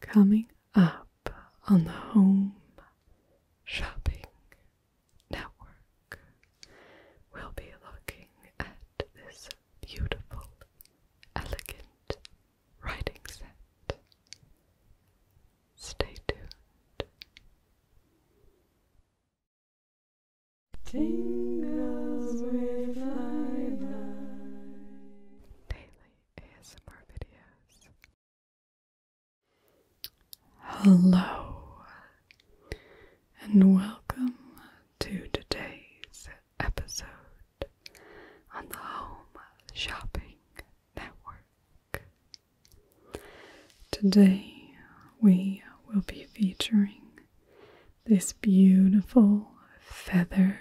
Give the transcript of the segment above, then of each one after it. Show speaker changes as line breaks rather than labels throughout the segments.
Coming up on the Home Shopping Network, we'll be looking at this beautiful, elegant writing set. Stay tuned. Tingles with my ASMR videos. Hello, and welcome to today's episode on the Home Shopping Network. Today we will be featuring this beautiful feather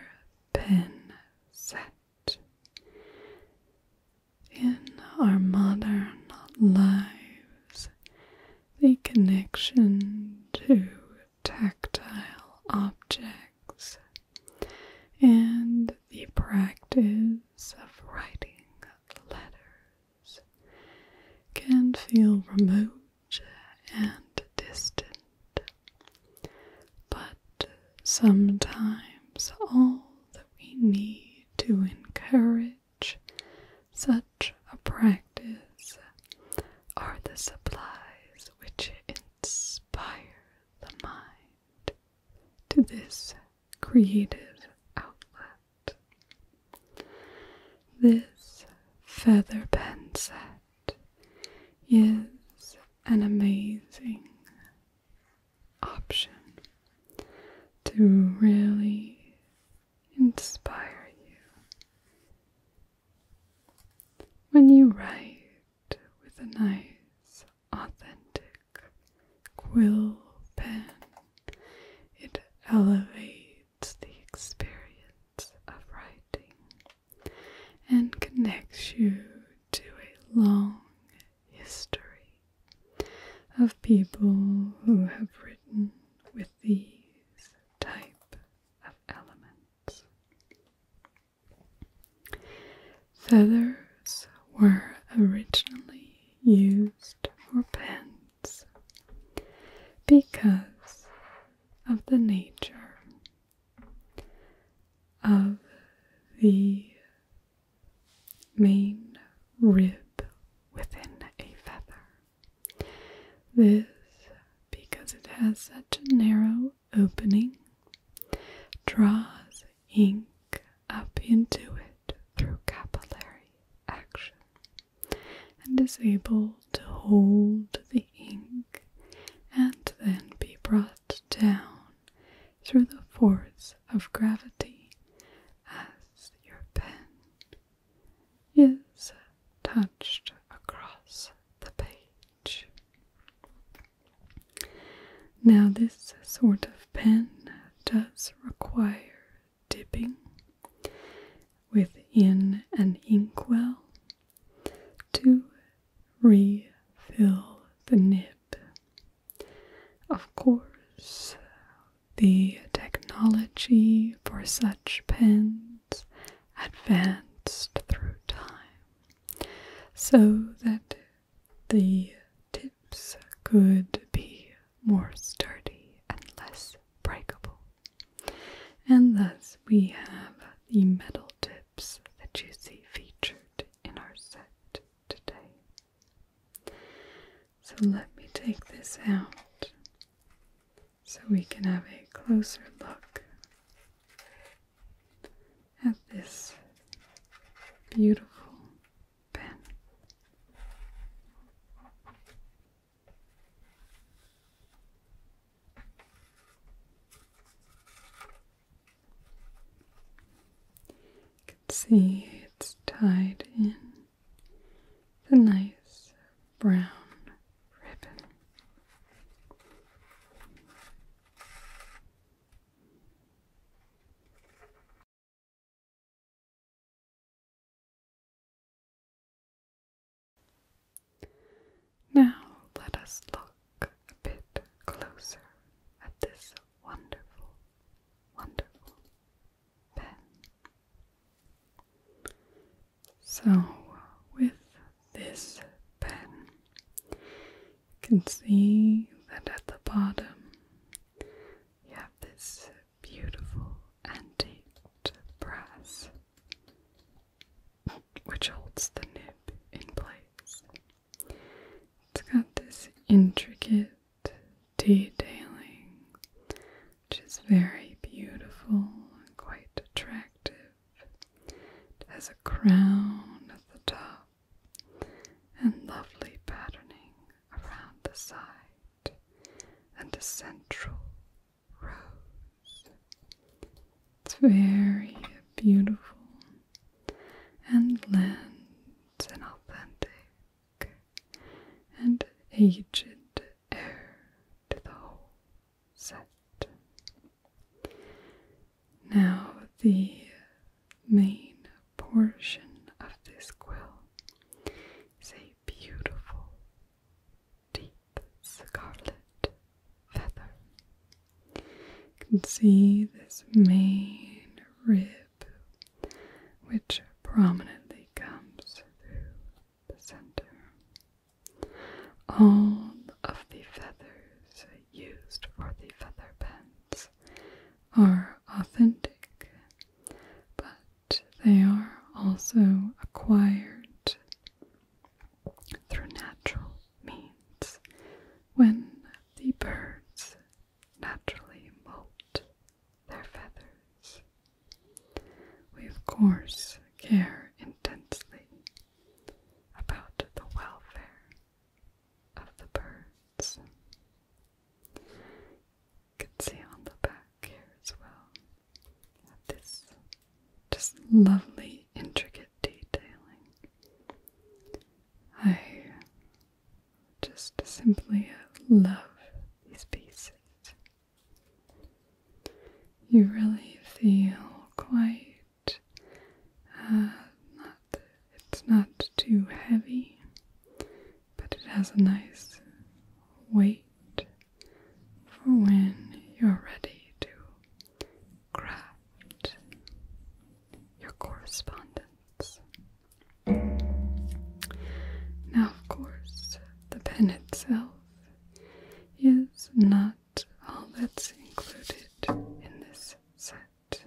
pen set. In our modern lives, the connection to tactile objects and the practice of writing letters can feel remote and distant. But sometimes all that we need to encourage such a practice are the supplies which inspire the mind to this creative outlet. This feather pen set is an amazing option to really inspire you when you write with a nice, authentic quill pen. It elevates the experience of writing and connects you to a long history of people who have written with these type of elements. Feathers were originally used for pens because of the nature of the main rib within a feather. This, because it has such a narrow opening, draws ink up into it through capillary action and is able to hold the ink and then be brought down through the force of gravity as your pen is touched across the page. Now, this sort of pen does require dipping within an inkwell to refill the nib. Of course, the technology for such pens advanced through time so that the tips could be more sturdy and less breakable. And thus we have the metal tips that you see featured in our set today. So let me take this out so we can have a closer look at this beautiful pen. You can see it's tied in the nice brown ribbon. Now let us look a bit closer at this wonderful, wonderful pen. So, with this pen, you can see that at the bottom you have this beautiful antique brass which holds the nib in place. It's got this intricate detailing, which is very beautiful and quite attractive. It has a crown at the top and lovely patterning around the side and a central row it's very beautiful and lends an authentic and aged air to the whole set. Now, the main portion of this quill is a beautiful deep scarlet you can see this main rib, which prominently comes through the center. All of the feathers used for the feather pens are authentic, but they are also acquired through natural means when the birds naturally molt their feathers. We, of course, care intensely about the welfare of the birds. You can see on the back here as well this just lovely, intricate detailing. I just simply love these pieces. You really feel quite, uh, not, it's not too heavy, but it has a nice weight for when you're ready to craft your correspondence. Now, of course, the pen itself is not all that's included in this set.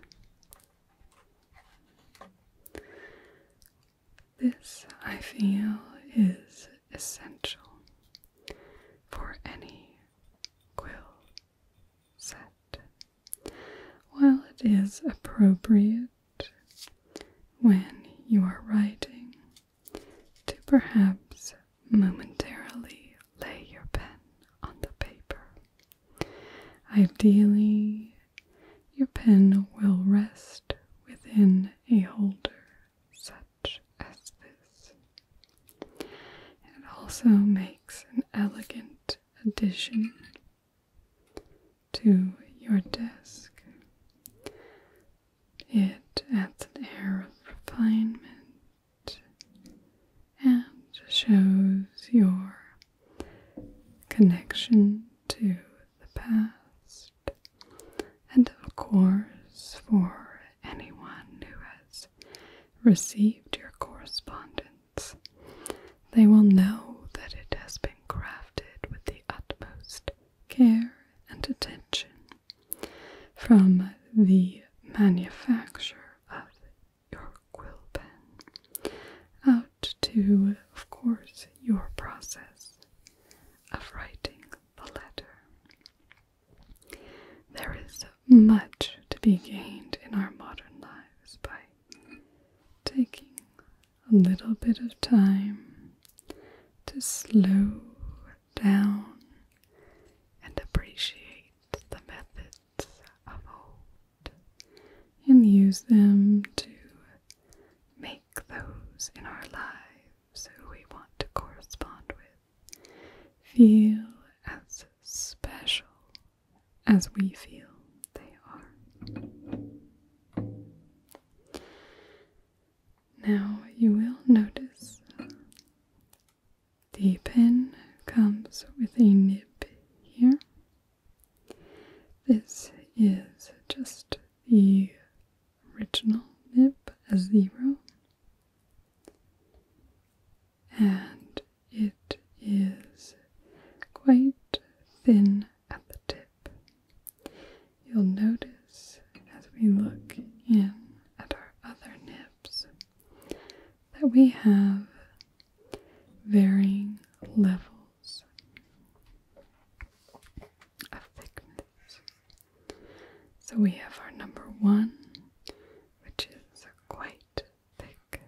This, I feel, is essential for any quill set. While it is appropriate when you are writing to perhaps momentarily lay your pen on the paper, ideally your pen will rest within a holder set much as this. It also makes an elegant addition to your desk. It adds an air of refinement and shows your connection to the past. And of course, for anyone who has received your correspondence. They will know that it has been crafted with the utmost care and attention from the manufacture of your quill pen out to, of course, your process of writing the letter. There is much to be gained in our modern lives by taking a little bit of time to slow down and appreciate the methods of old and use them to make those in our lives who we want to correspond with feel as special as we feel they are. Now you will notice the pen comes with a nib here. This is just the original nib, as zero, and it is quite thin at the tip. You'll notice as we look in at our other nibs that we have varying levels of thickness. So we have our number one, which is quite thick,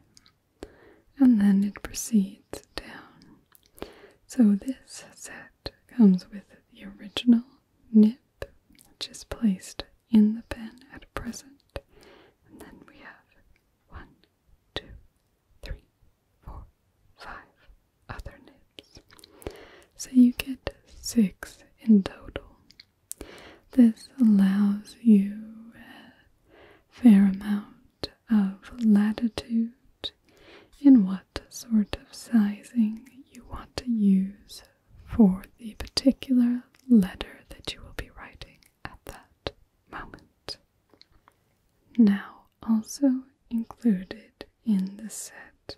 and then it proceeds down. So this set comes with the original nib, which is placed in the pen at present, and then we have one, two, three, four, five other nibs. So you get six in total. This allows you a fair amount of latitude in what sort of sizing you want to use for the particular letter that you will be writing at that moment. Now, also included in the set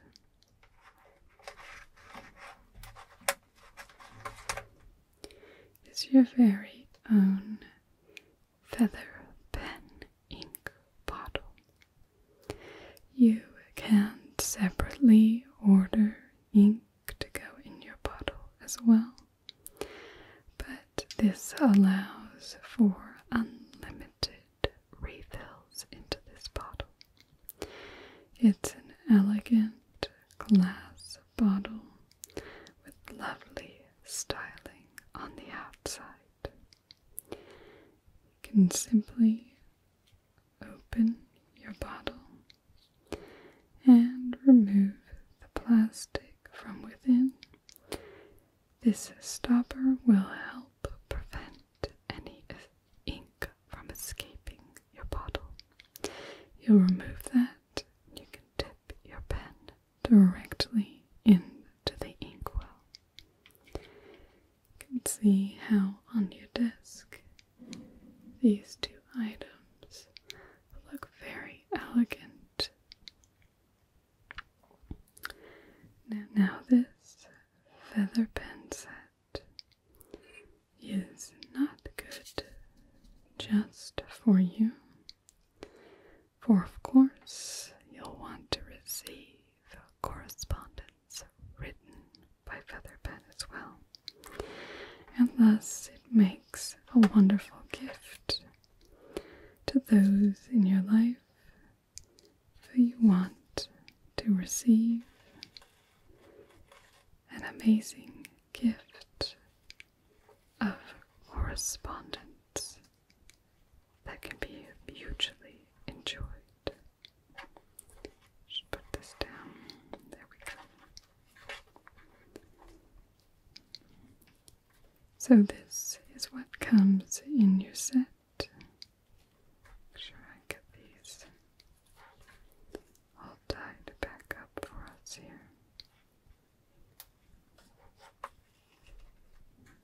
is your very own feather pen ink bottle. You can separately order ink to go in your bottle as well, but this allows for unlimited refills into this bottle. It's an elegant glass bottle with lovely styling on the outside. You can simply open your bottle and remove the plastic from within. This stopper will help prevent any ink from escaping your bottle. You'll remove that. You can dip your pen directly into the inkwell. You can see how on your desk these two items look very elegant. Now, now this feather pen set is not good just for you. For of course, you'll want to receive correspondence written by feather pen as well, and thus it makes a wonderful gift to those in your life who you want to receive an amazing gift of correspondence that can be hugely enjoyed. put this down. There we go. So, this is what comes in your set. Make sure I get these all tied back up for us here. Mm,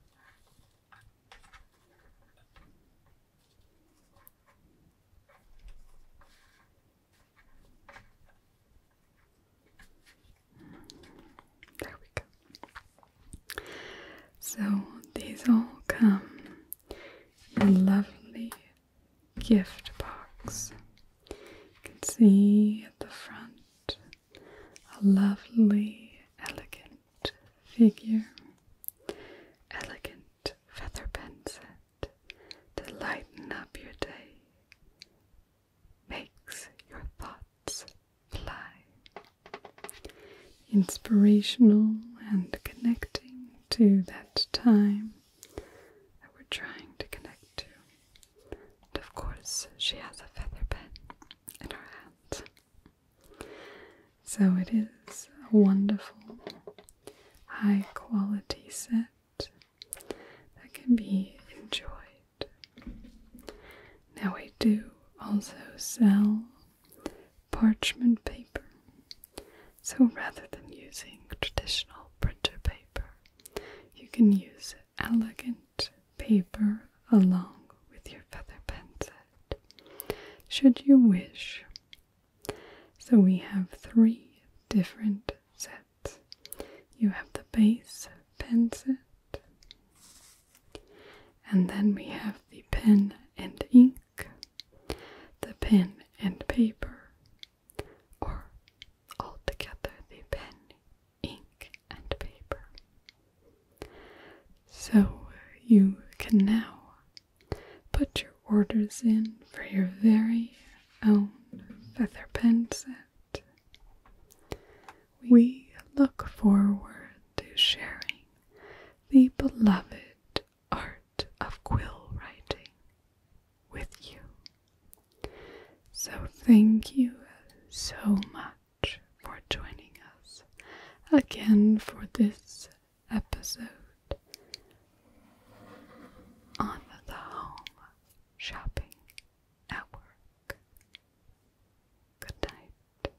there we go. So these all come a lovely gift box. You can see at the front a lovely, elegant figure, elegant feather pen set to lighten up your day, makes your thoughts fly. Inspirational and connecting to that time that we're trying to connect to. And of course, she has a feather bed in her hand. So it is a wonderful, high quality set that can be enjoyed. Now, we do also sell parchment paper. So rather than using traditional printer paper, you can use elegant paper along with your feather pen set, should you wish. So we have three different sets. You have the base pen set, and then we have the pen and ink the pen and paper, or altogether the pen, ink, and paper. So uh, you can now put your orders in for your very own feather pen set. We look forward to sharing the beloved art of quill writing with you. So, thank you so much for joining us again for this episode on the Home Shopping at Work. Good night.